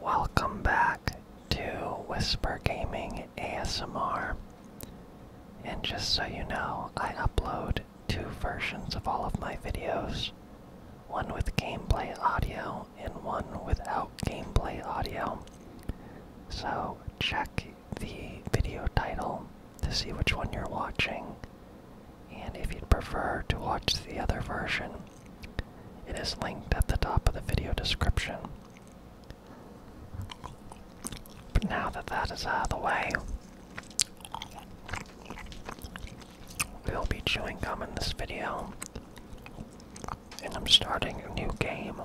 Welcome back to Whisper Gaming ASMR. And just so you know, I upload two versions of all of my videos one with gameplay audio and one without gameplay audio. So check the video title to see which one you're watching. And if you'd prefer to watch the other version, it is linked at the top of the video description. But now that that is out of the way, we'll be chewing gum in this video. And I'm starting a new game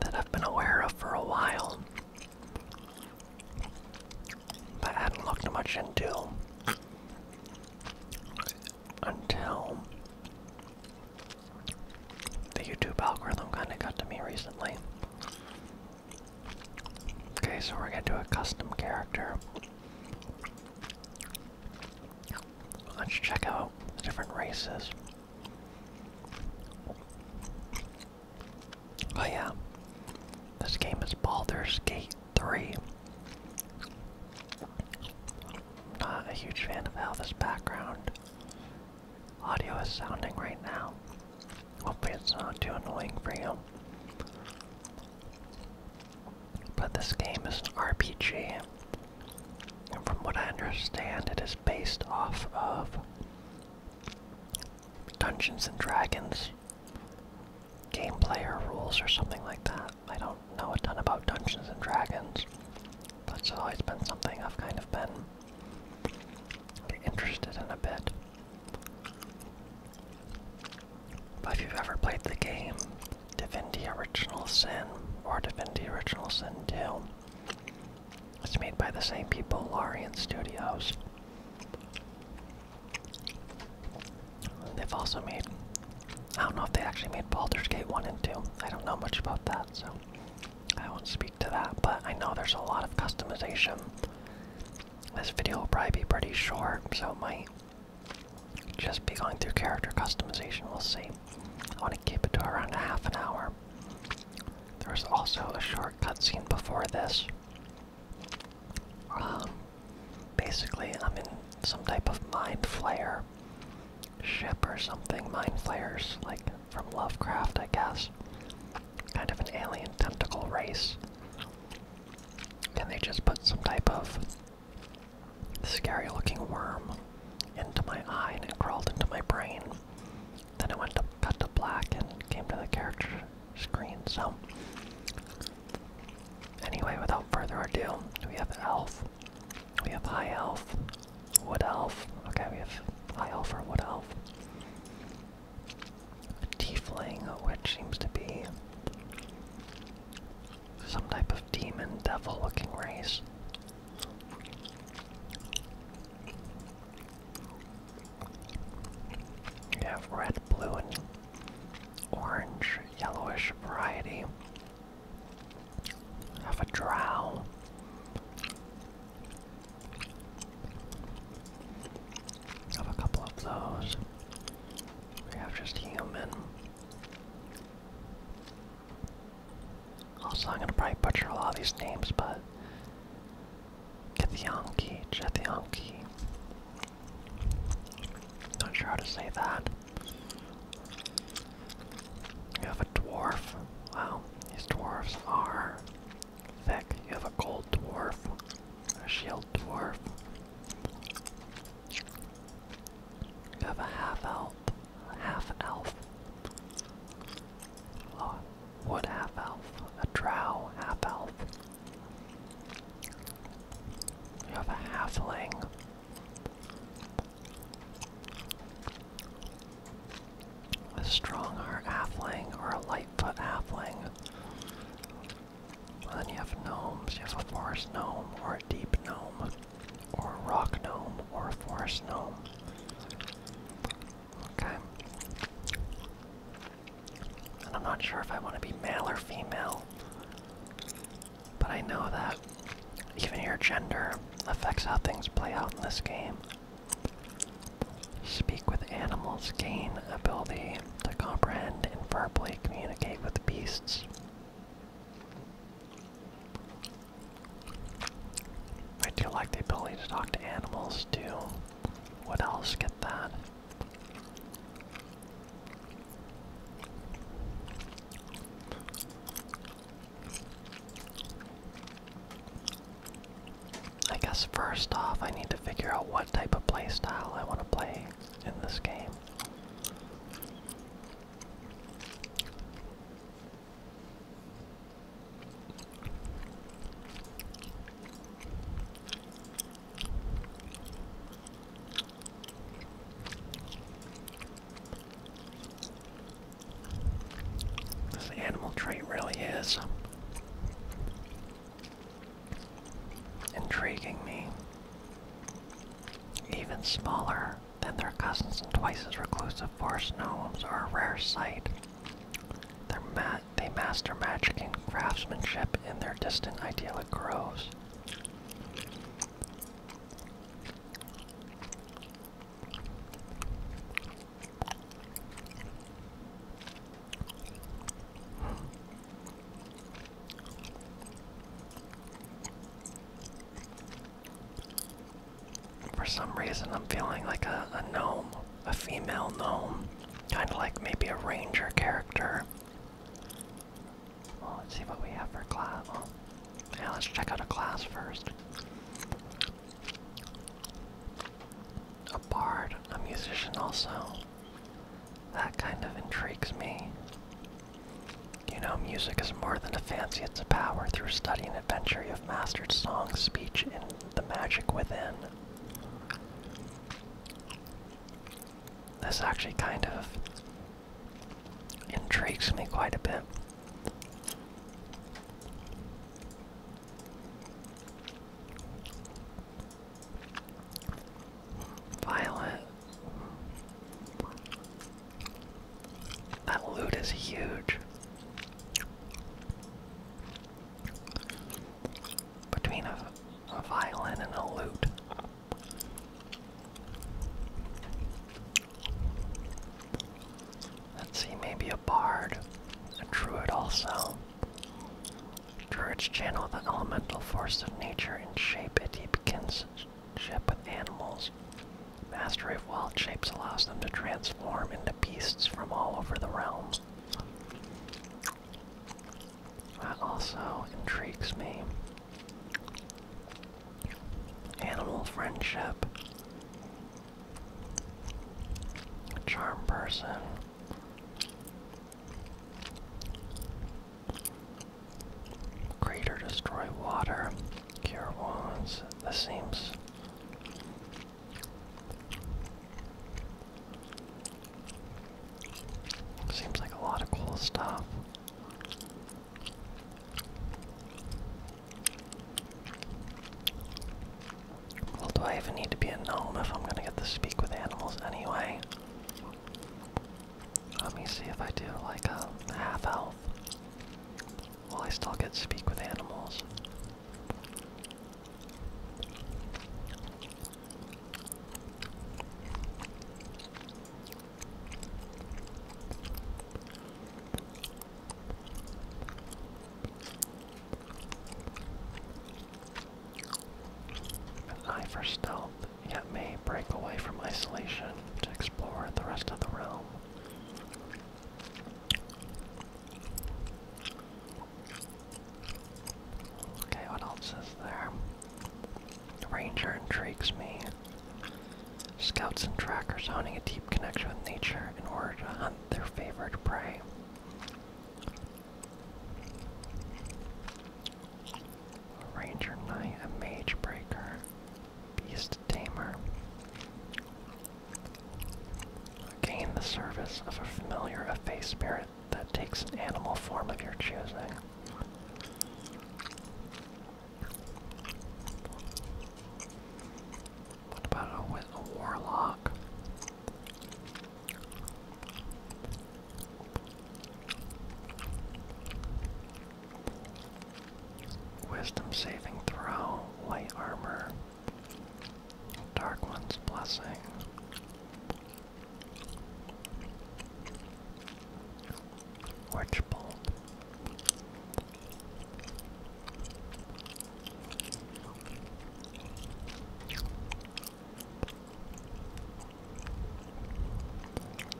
that I've been aware of for a while. I hadn't looked much into until the YouTube algorithm kind of got to me recently. Okay, so we're gonna do a custom character. Let's check out the different races. Oh yeah, this game is Baldur's Gate 3. Not a huge fan of how this background audio is sounding right now. Hopefully it's not too annoying for you. But this game is an RPG, and from what I understand, it is based off of Dungeons and Dragons rules, game player rules, or something like that. I don't know a ton about Dungeons and Dragons. That's always been something I've kind of been interested in a bit. But if you've ever played the game Divinity Original Sin or Divinity Original Sin 2, it's made by the same people, Larian Studios. They've also made. I don't know if they actually made Baldur's Gate 1 and 2. I don't know much about that, so I won't speak to that, but I know there's a lot of customization. This video will probably be pretty short, so might just be going through character customization. We'll see. I want to keep it to around a half an hour. There was also a short cutscene before this um, basically, I'm in some type of mind flare ship or something. Mind flayers, like from Lovecraft, I guess. Kind of an alien tentacle race. And they just put some type of scary looking worm into my eye and it crawled into my brain. Then it went to cut to black and came to the character screen. So, anyway, without further ado, we have elf, we have high elf, wood elf. Okay, we have high elf or wood elf. Tiefling, which seems to be some type of demon devil looking race. We have red, blue, and orange, yellowish variety. You have a drow. have a couple of those. We have just human. Also, I'm gonna probably butcher a lot of these names, but Kithyanki, Chethyanki. Not sure how to say that. You have a dwarf. Wow, these dwarfs are thick. You have a gold dwarf, a shield dwarf. You have a half elf, half elf. Wood half-elf, a drow half-elf. You have a halfling. A strong heart halfling or a lightfoot halfling. Well, then you have gnomes. You have a forest gnome or a deep gnome or a rock gnome or a forest gnome. Okay. And I'm not sure if I want to be male or female, but I know that even your gender affects how things play out in this game. Speak with animals, gain ability to comprehend and verbally communicate with beasts. I do like the ability to talk to animals too. What else? Get that. I guess first off, I need to figure out what type of playstyle I want to play in this game. This animal trait really is intriguing me. Even smaller than their cousins and twice as reclusive forest gnomes are a rare sight. Their mass they master magic and craftsmanship in their distant idyllic groves. For some reason, I'm feeling like a gnome a female gnome, kind of like maybe a ranger character. Well, let's see what we have for class. Well, oh, yeah, let's check out a class first. A bard, a musician also. That kind of intrigues me. You know, music is more than a fancy, it's a power. Through study and adventure, you have mastered song, speech, and the magic within. This actually kind of intrigues me quite a bit. Violet. That loot is huge between a, violin and a lute. Let's see, maybe a bard, a druid also. Druids channel the elemental force of nature and shape it. He begins ship with animals. Mastery of wild shapes allows them to transform into beasts from all over the realm. That also intrigues me. Animal friendship. Charm person. Greater destroy water. Cure wounds. The seams. Seems like a lot of cool stuff. Well, do I even need to be a gnome if I'm gonna get to speak with animals anyway? Let me see if I do like a half elf. Will I still get to speak with animals? An for stealth, yet may break away from isolation to explore the rest of the realm. Okay, what else is there? Ranger intrigues me. Scouts and trackers honing a deep connection with nature in order to hunt their favorite prey. Ranger Knight, a Mage Breaker, Beast Tamer. Gain the service of a familiar of faith spirit that takes an animal form of your choosing. What about a warlock? Wisdom saving throw, light armor. Dark One's Blessing. Witch Bolt.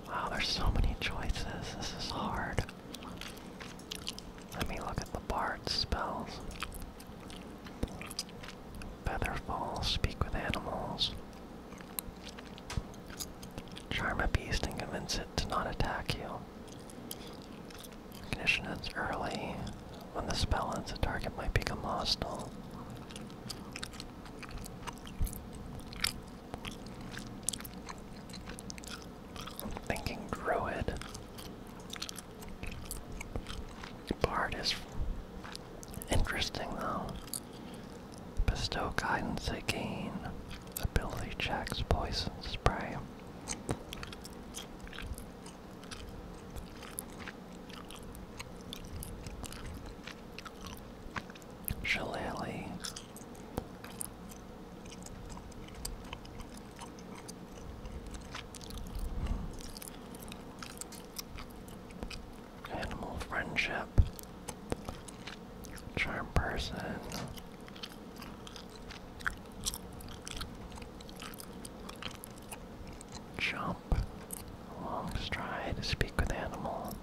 Wow, there's so many choices. This is hard. Let me look at the bard spells. Featherfall, speak with animals. Charm a beast and convince it to not attack you. Ignition ends early. When the spell ends, the target might become hostile. thinking Druid. Part is interesting though. Bestow guidance again. Ability checks, poison spray. Shillelagh. Animal friendship. Charm person. Jump. Long stride. Speak with animal.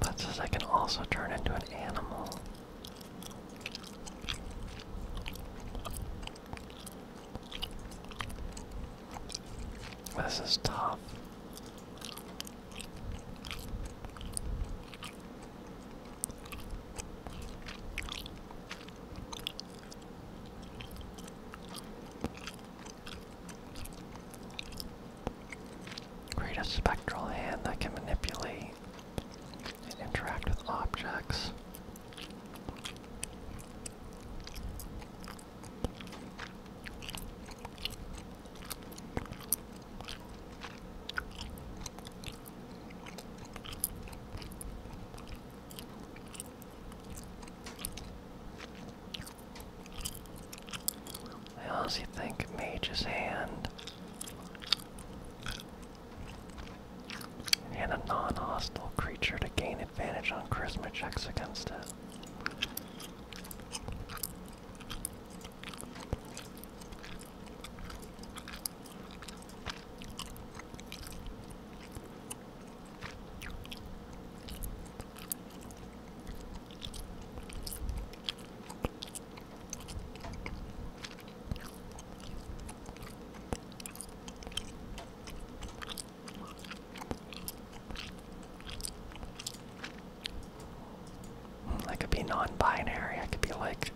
That says I can also turn into an animal. This is tough. Create a spectral hand that can manipulate and interact with objects. I also think Mage's Hand and a non-hostile creature to gain advantage on charisma checks against it. Hmm, I could be non-binary. I could be like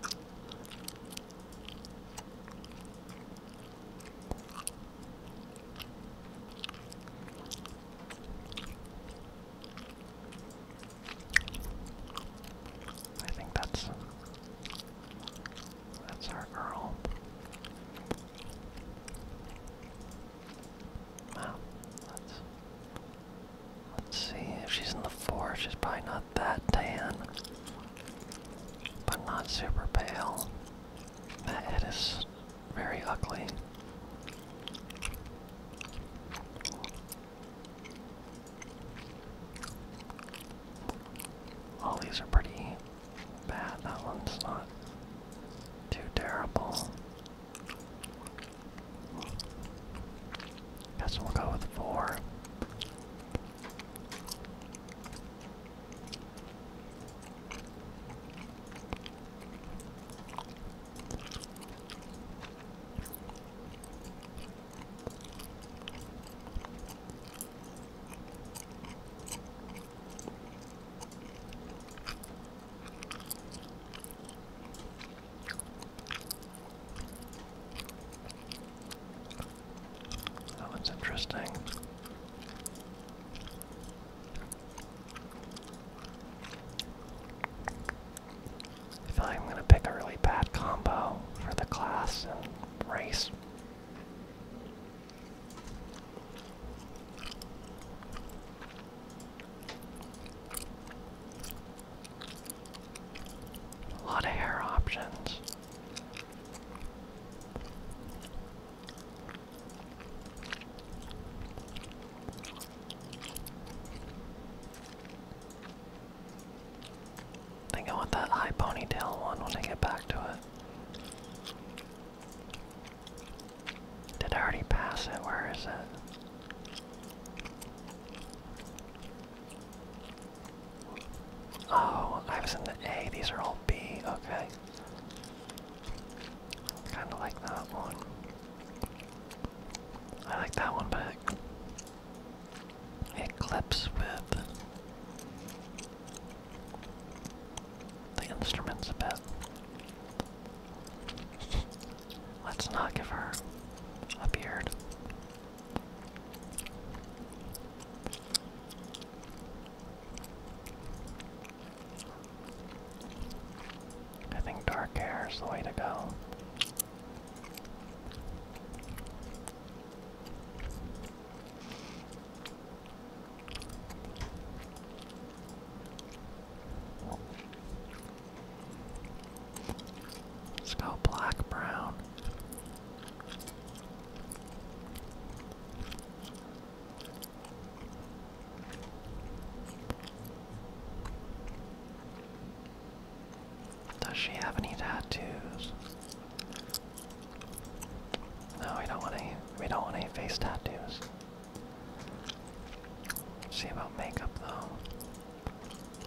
I think that's that's our girl. Wow. Let's let's see if she's in the four. She's probably not that tan, but not super pale. That very ugly. All these are pretty bad. That one's not too terrible. Guess we'll go with four. That looks interesting. I feel like I'm gonna pick a really bad combo for the class and race. A lot of hair options think I want that high ponytail one when I get back to it. Did I already pass it? Where is it? Oh, I was in the A. These are all B. Okay. Kind of like that one. I like that one, but it, clips with the instruments a bit. Let's not give her a beard. I think dark hair is the way to go. Let's go black brown. Does she have any tattoos? No, we don't want any we don't want any face tattoos. see about makeup though.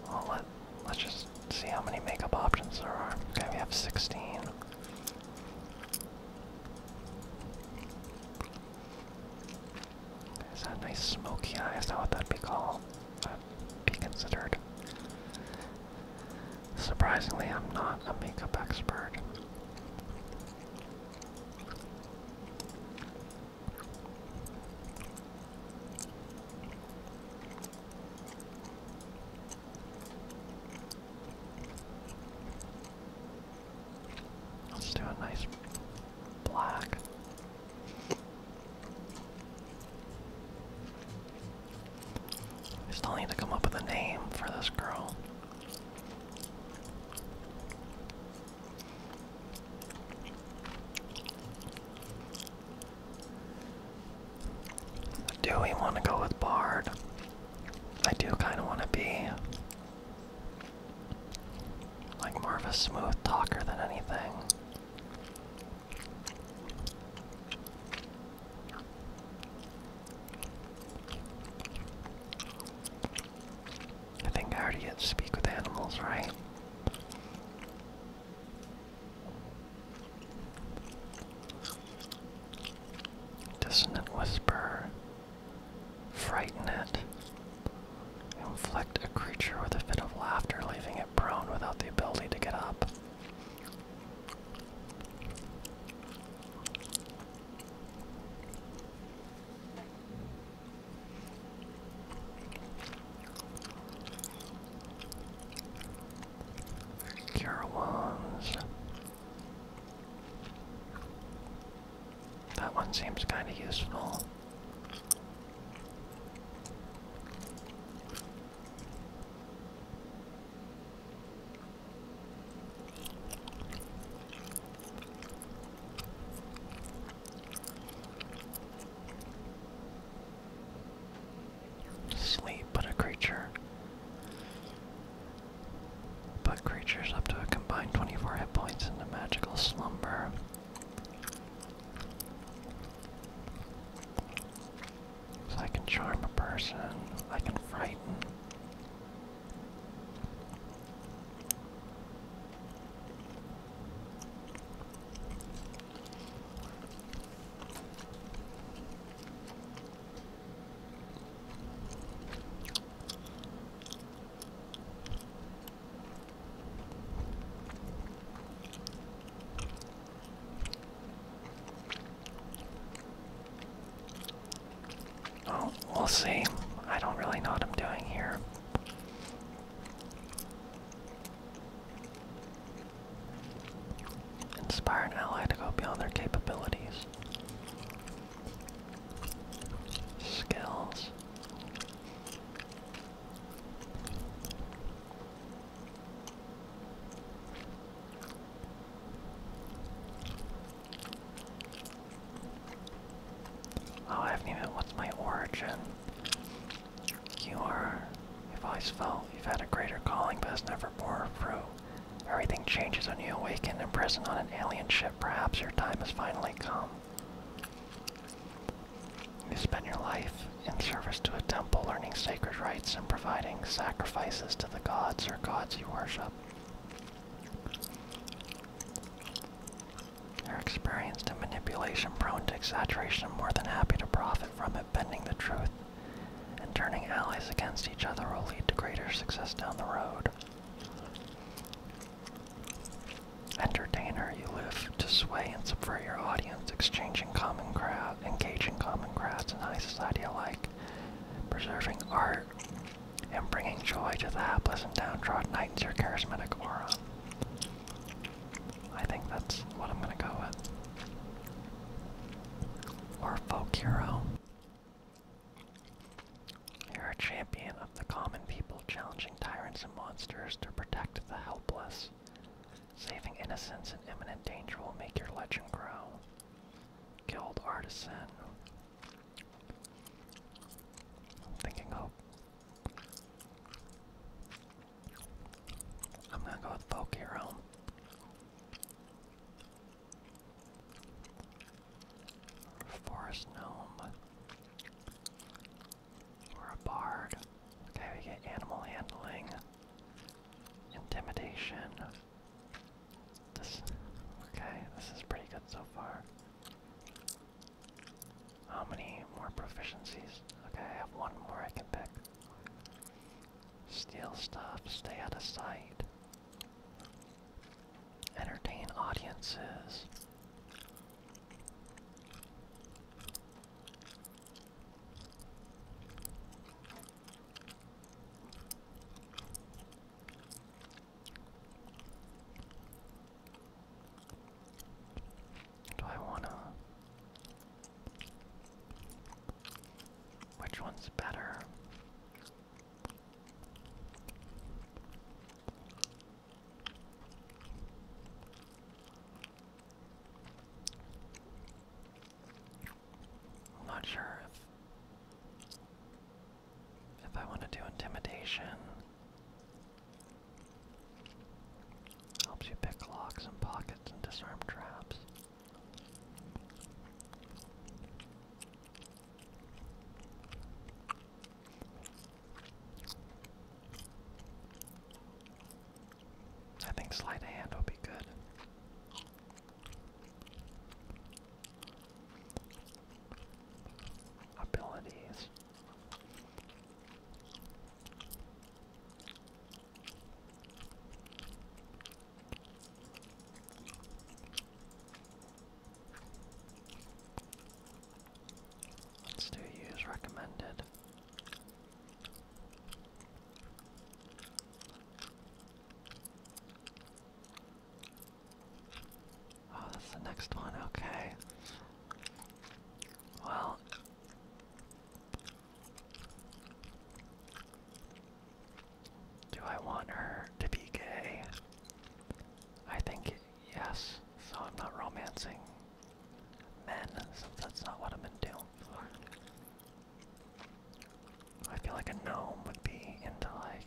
Well let let's just see how many makeup options there are. Okay, we have sixteen. Is that nice smoky eye? Is that what that'd be called? be considered. Surprisingly, I'm not a makeup expert. Let's do a nice black. I still need to come up with a name for this girl. Do we want to go with Bard? I do kind of want to be like more of a smooth talker than anything. I think I already get to speak with animals, right? Dissonant whisper. Frighten it. Inflict a creature with a fit of laughter, leaving it prone without the ability to get up. Cure wounds. That one seems kind of useful. Sleep, but a creature. But creatures up to a combined 24 hit points into magical slumber. So I can charm a person, I can frighten. Oh, we'll see. I don't really know what I'm doing here. Inspire an ally to go beyond their capabilities skills. Oh, I haven't even. What's my origin? You are. You've always felt you've had a greater calling, but has never bore fruit. Everything changes when you awaken in prison on an alien ship. Perhaps your time has finally come. You spend your life in service to a temple, learning sacred rites and providing sacrifices to the gods or gods you worship. You're experienced in manipulation, prone to exaggeration, and more than happy to profit from it, bending the truth and turning allies against each other will lead to greater success down the road. Entertainer, you live to sway and subvert your audience, exchanging common crowd, engaging common crowds and high society alike, preserving art, and bringing joy to the hapless and downtrodden heightens your charismatic aura. I think that's what I'm gonna go with. Or folk hero. You're a champion of the common people, challenging tyrants and monsters to protect the helpless. Saving innocents in imminent danger will make your legend grow. Guild Artisan. thinking I'm gonna go with Folk Hero. Forest gnome. Or a bard. Okay, we get animal handling. Intimidation. This okay, this is pretty good so far. How many more proficiencies? Okay, I have one more I can pick. Steal stuff, stay out of sight entertain audiences. Do I want to? Which one's better? i not sure if if I want to do intimidation. Helps you pick locks and pockets and disarm traps. I think sleight of hand will be good. Abilities. Let's do use recommended. Oh, that's the next one, okay. Well, do I want her to be gay? I think yes, so I'm not romancing men, since that's not what I'm into. I feel like a gnome would be into like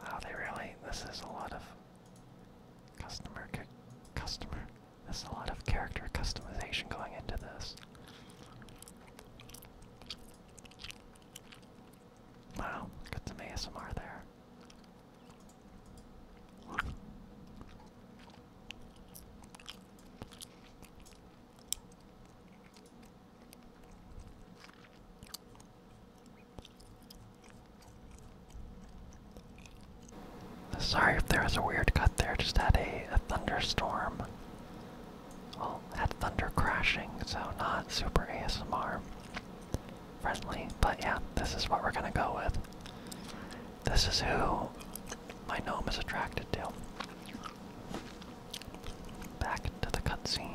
Wow, they really. This is a lot of customer customer. is a lot of character customization going into this. Wow, got some ASMR there. Sorry if there was a weird cut there, just had a, thunderstorm. Well, had thunder crashing, so not super ASMR friendly, but yeah, this is what we're gonna go with. This is who my gnome is attracted to. Back to the cutscene.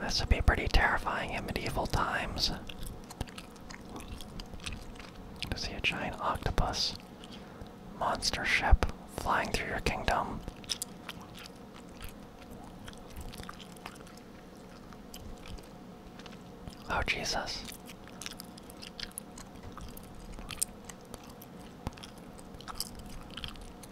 This would be pretty terrifying in medieval times. To see a giant octopus monster ship flying through your kingdom. Oh, Jesus.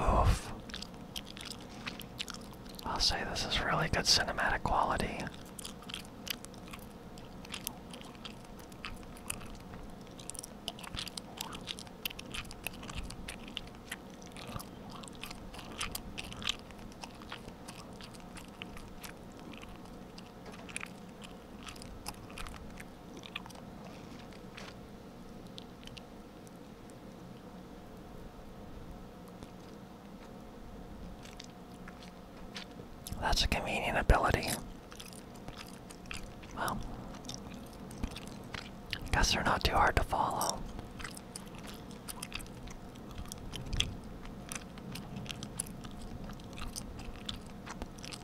Oof. I'll say this is really good cinematic quality. That's a convenient ability. Well, guess they're not too hard to follow.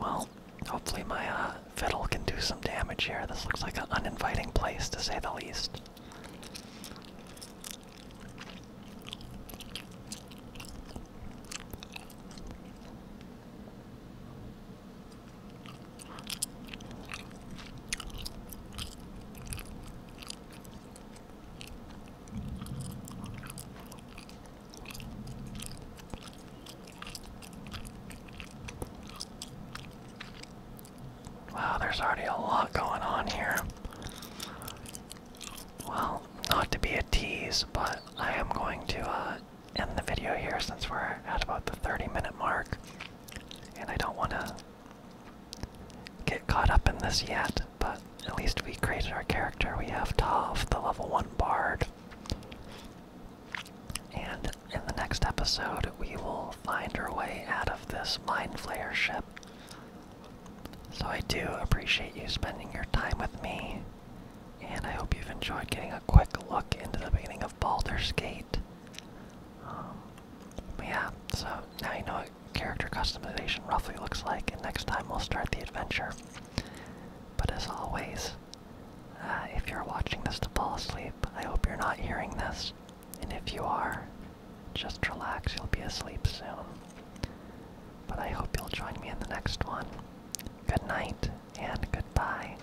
Well, hopefully my uh, fiddle can do some damage here. This looks like an uninviting place, to say the least. Wow, there's already a lot going on here. Well, not to be a tease, but I am going to uh, end the video here since we're at about the 30 minute mark. And I don't want to get caught up in this yet, but at least we created our character. We have Tav, the level 1 bard. And in the next episode, we will find our way out of this Mind Flayer ship. So I do appreciate you spending your time with me, and I hope you've enjoyed getting a quick look into the beginning of Baldur's Gate. Um, yeah, so now you know what character customization roughly looks like, and next time we'll start the adventure. But as always, uh, if you're watching this to fall asleep, I hope you're not hearing this. And if you are, just relax, you'll be asleep soon. But I hope you'll join me in the next one. Good night and goodbye.